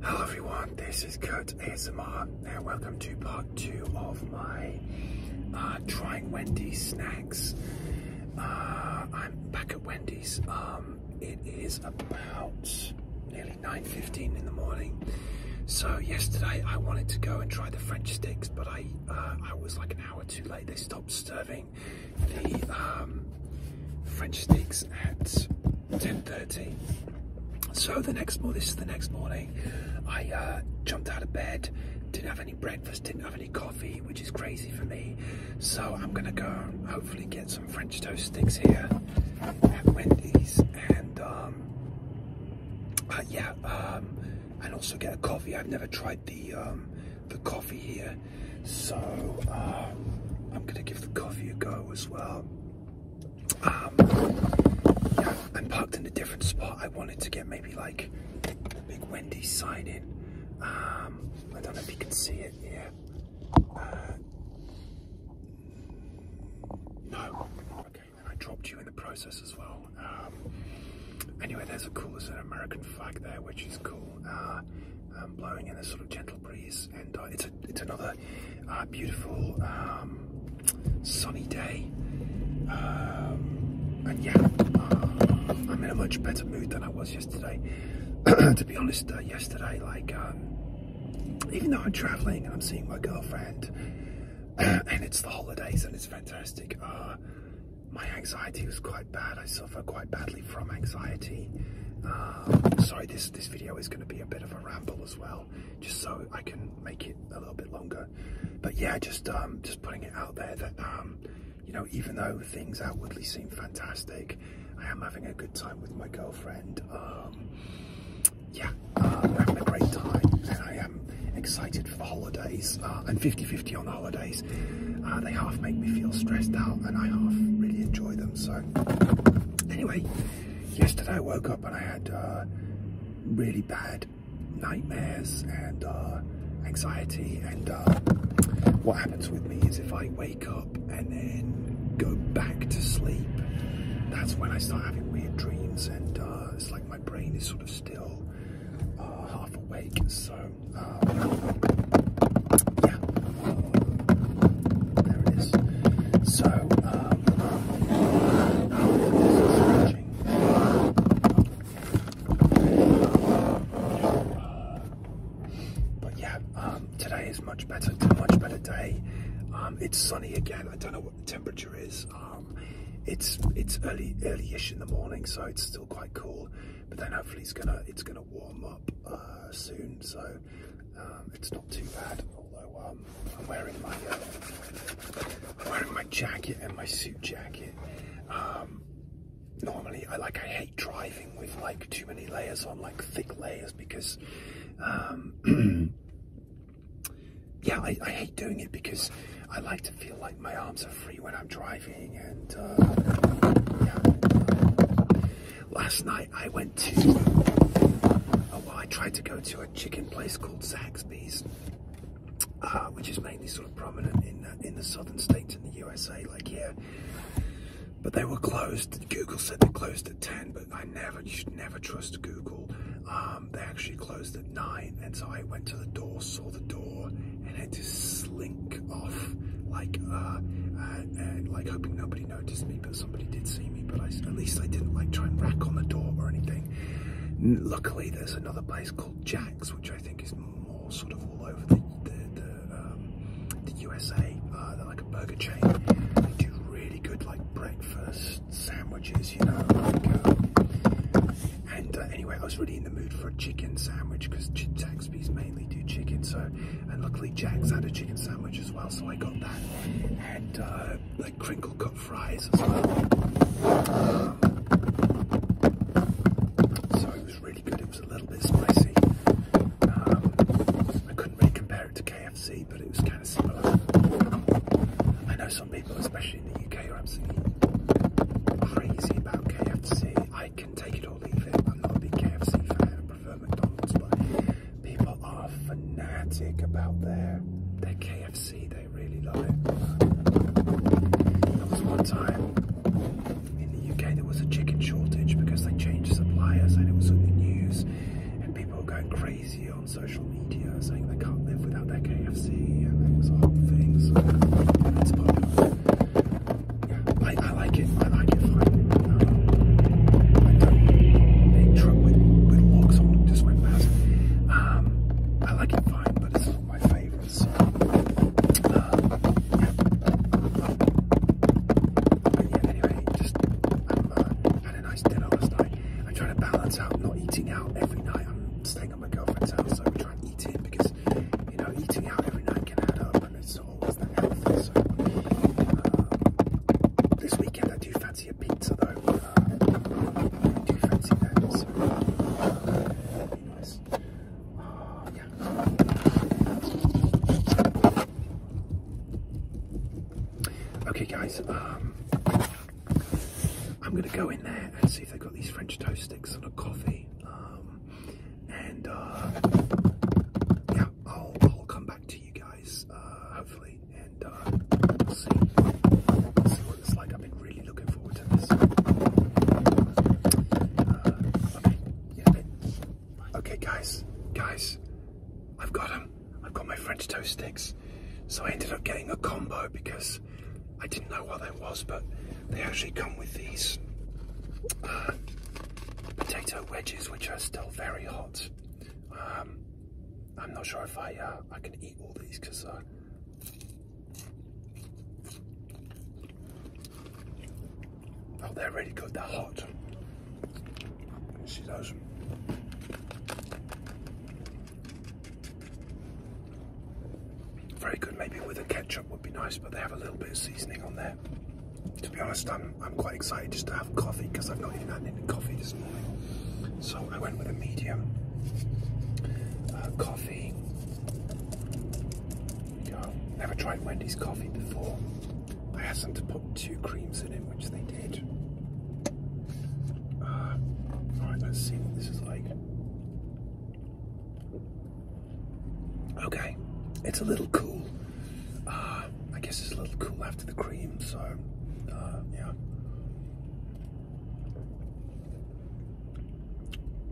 Hello everyone, this is Kurt ASMR and welcome to part two of my uh, trying Wendy's snacks. Uh, I'm back at Wendy's. Um, it is about nearly 9.15 in the morning. So yesterday I wanted to go and try the French sticks, but I, uh, I was like an hour too late. They stopped serving the um, French sticks at 10.30. So the next morning, this is the next morning, I uh, jumped out of bed, didn't have any breakfast, didn't have any coffee, which is crazy for me. So I'm gonna go hopefully get some French toast sticks here at Wendy's and um, uh, yeah, um, and also get a coffee. I've never tried the, um, the coffee here. So I'm gonna give the coffee a go as well. Um, I'm parked in a different spot. I wanted to get maybe like a big Wendy's sign in. Um, I don't know if you can see it here. Uh, no. Okay, Then I dropped you in the process as well. Um, anyway, there's a cool, there's an American flag there, which is cool. Uh, blowing in a sort of gentle breeze, and uh, it's a, it's another a beautiful um, sunny day. Um, and yeah, uh, I'm in a much better mood than I was yesterday. to be honest, uh, yesterday, like, um, even though I'm traveling and I'm seeing my girlfriend, and it's the holidays and it's fantastic, uh, my anxiety was quite bad. I suffer quite badly from anxiety. sorry, this this video is going to be a bit of a ramble as well, just so I can make it a little bit longer. But yeah, just um, just putting it out there that um, you know, even though things outwardly seem fantastic, I am having a good time with my girlfriend. Um, yeah, having a great time, and I am excited for the holidays. Uh, and i 50-50 on the holidays. Uh, they half make me feel stressed out, and I half really enjoy them. So anyway, yesterday I woke up and I had uh, really bad nightmares and uh, anxiety. And uh, what happens with me is if I wake up and then go back to sleep, that's when I start having weird dreams. And it's like my brain is sort of still half awake. So yeah, there it is. So, um, but yeah, um, today is much better, a much better day. Um, it's sunny again. I don't know what the temperature is. it's it's early early-ish in the morning, so it's still quite cool. But then hopefully it's gonna it's gonna warm up uh, soon. So um, it's not too bad, although um, uh, I'm wearing my jacket and my suit jacket. Um, normally, I like I hate driving with like too many layers on, like thick layers, because yeah, I, hate doing it because I like to feel like my arms are free when I'm driving and. Uh, Last night I went to, oh, well, I tried to go to a chicken place called Zaxby's, uh, which is mainly sort of prominent in, uh, in the southern states in the USA, like here. But they were closed. Google said they closed at 10, but I never, you should never trust Google. Um, they actually closed at 9, and so I went to the door, saw the door, and had to slink off, like, uh, like hoping nobody Noticed me, but somebody did see me. But I, at least I didn't like try and rack on the door or anything. Luckily, there's another place called Jack's, which I think is more sort of all over the the, USA. Um, uh, they're like a burger chain. They do really good like breakfast sandwiches, you know. Um, and uh, anyway, I was really in the mood for a chicken sandwich because Jack's Zaxby's mainly do chicken, so and luckily Jack's had a chicken sandwich as well, so I got that and uh, like crinkle cut fries as well. so it was really good. It was a little bit spicy. Um, I couldn't really compare it to KFC, but it was kind of similar. I know some people, especially in the UK, are absolutely crazy about KFC. I can take it or leave it. I'm not a big KFC fan. I prefer McDonald's, but people are fanatic about their their KFC they really like. There was one time in the UK there was a chicken shortage because they changed suppliers and it was on the news and people were going crazy on social media saying they can't live without their KFC and it was a whole I, like it. I like it fine. big um, truck with, with logs on just went past. Um, I like it fine, but it's not my favourite. So, uh, yeah. anyway, just um, had a nice dinner last night. I'm trying to balance out not eating out every night. I'm staying at my girlfriend's house, so we try and eat in because you know eating out every night can add up, and it's so always the health. So, um, this weekend I do fancy a pizza though. Uh, uh, ah, okay, guys. Um, I'm gonna go in there and see if they've got these French toast sticks and a coffee. Um, and yeah, I'll, come back to you guys, uh, hopefully, and uh, we'll see. what it's like. I've been really looking forward to this. Uh, okay, guys, guys, I've got them. I've got my French toast sticks. So I ended up getting a combo because I didn't know what that was, but they actually come with these. Uh, potato wedges, which are still very hot. Um, I'm not sure if I uh, I can eat all these because. Uh, oh, they're really good. They're hot. Very good, maybe with a ketchup would be nice, but they have a little bit of seasoning on there to be honest, I'm, I'm quite excited just to have coffee because I've not even had any coffee this morning. So I went with a medium uh, coffee. You know, never tried Wendy's coffee before. I asked them to put two creams in it, which they did. Uh, alright, let's see what this is like. Okay, it's a little cool. Uh, I guess it's a little cool after the cream, so uh, yeah.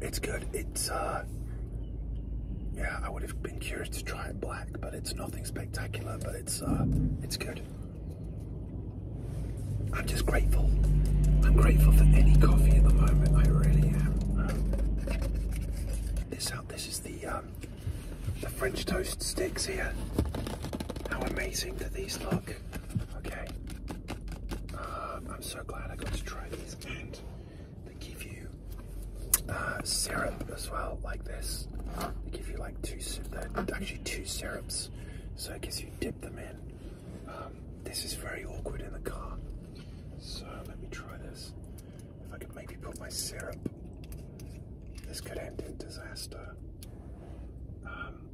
It's good. It's, uh, yeah, I would have been curious to try it black, but it's nothing spectacular, but it's, it's good. I'm just grateful. I'm grateful for any coffee at the moment. I really am. Um, this out. This is the um, the French toast sticks here. How amazing do these look? Okay. Uh, I'm so glad I got to try these, and they give you uh, syrup as well, like this. They give you like two, actually two syrups, so I guess you dip them in. Um, this is very awkward in the car. So let me try this. If I could maybe put my syrup, this could end in disaster. Um,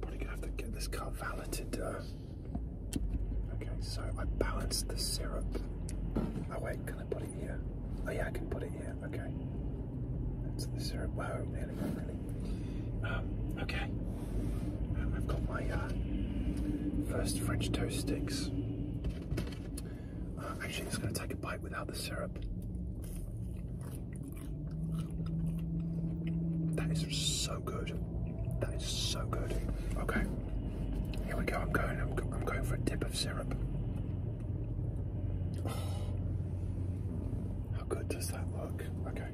probably gonna have to get this car valeted. Uh. okay, so I balanced the syrup. Oh wait, can I put it here? Oh yeah, I can put it here. Okay, that's the syrup. Whoa, nearly, really. Um, okay. I've got my uh, first French toast sticks. Uh, actually, i going to take a bite without the syrup. That is so good. That is so good. Okay, here we go. I'm going. I'm, going for a dip of syrup. how good does that look? Okay.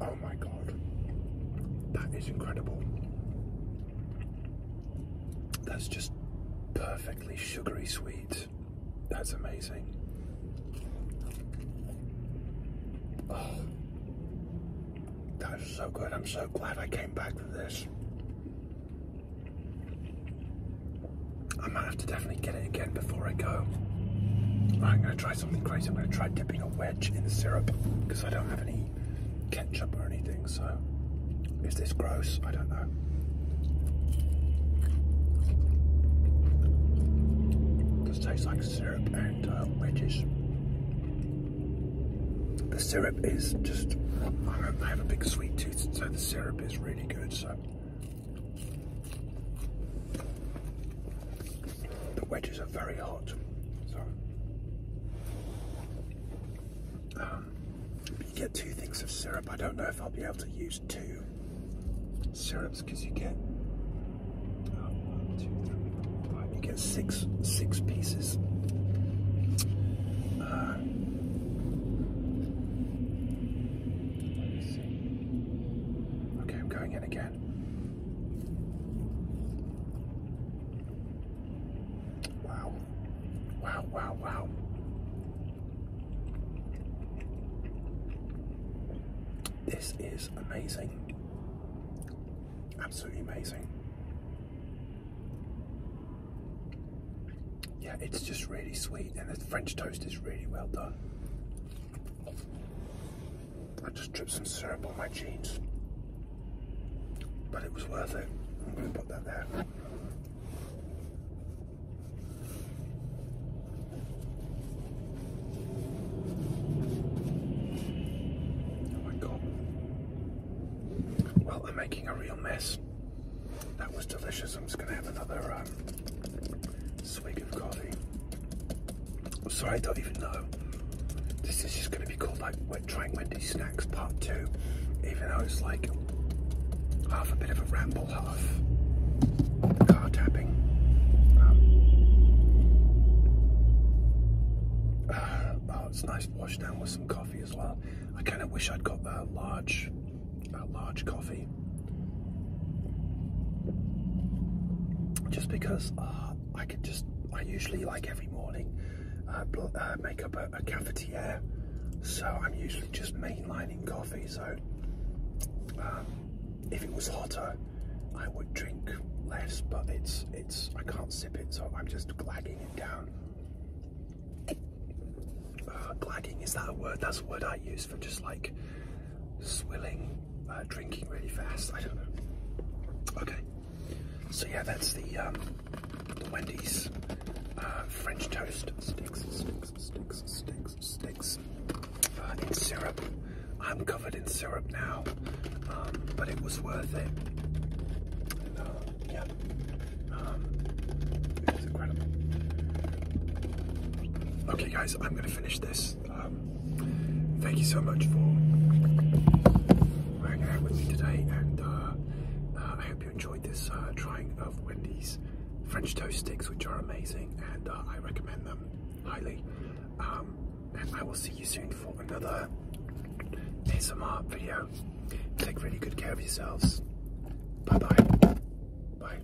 Oh my god, that is incredible. That's just perfectly sugary sweet. That's amazing. Oh. that is so good. I'm so glad I came back for this. I might have to definitely get it again before I go. I'm going to try something crazy. I'm going to try dipping a wedge in the syrup because I don't have any ketchup or anything. So, is this gross? I don't know. This tastes like syrup and uh, wedges. The syrup is just, I have a big sweet tooth, so the syrup is really good. So, the wedges are very hot, so um, you get two things of syrup. I don't know if I'll be able to use two syrups because you get oh, one, two, three, four, five. You get six six pieces. Uh, I I'm going in again. Wow. Wow, wow, wow. This is amazing. Absolutely amazing. Yeah, it's just really sweet, and the French toast is really well done. I just dripped some syrup on my jeans. But it was worth it. I'm going to put that there. Oh my god. Well, they're making a real mess. That was delicious. I'm just going to have another um, swig of coffee. Sorry, I don't even know. This is just going to be called like we're trying Wendy's snacks part two, even though it's like half a bit of a ramble, half car tapping. Um, oh, it's nice washed down with some coffee as well. I kind of wish I'd got that large a large coffee. Just because uh, I could just, I usually like every morning uh, uh, make up a, a cafetiere, so I'm usually just mainlining coffee. So um, if it was hotter, I would drink less, but it's it's I can't sip it, so I'm just glagging it down. Uh, glagging is that a word? That's a word I use for just like swilling, uh, drinking really fast. I don't know. Okay. So yeah, that's the, um, the Wendy's uh, French toast sticks, sticks, sticks, sticks, sticks uh, in syrup. I'm covered in syrup now, um, but it was worth it. Uh, yeah, um, it was incredible. Okay, guys. I'm gonna finish this. Um, thank you so much for hanging out with me today, and uh, uh, I hope you enjoyed this uh, trying of Wendy's French toast sticks, which are amazing, and I recommend them highly. Um, and I will see you soon for another ASMR video. Take really good care of yourselves. Bye bye. Bye.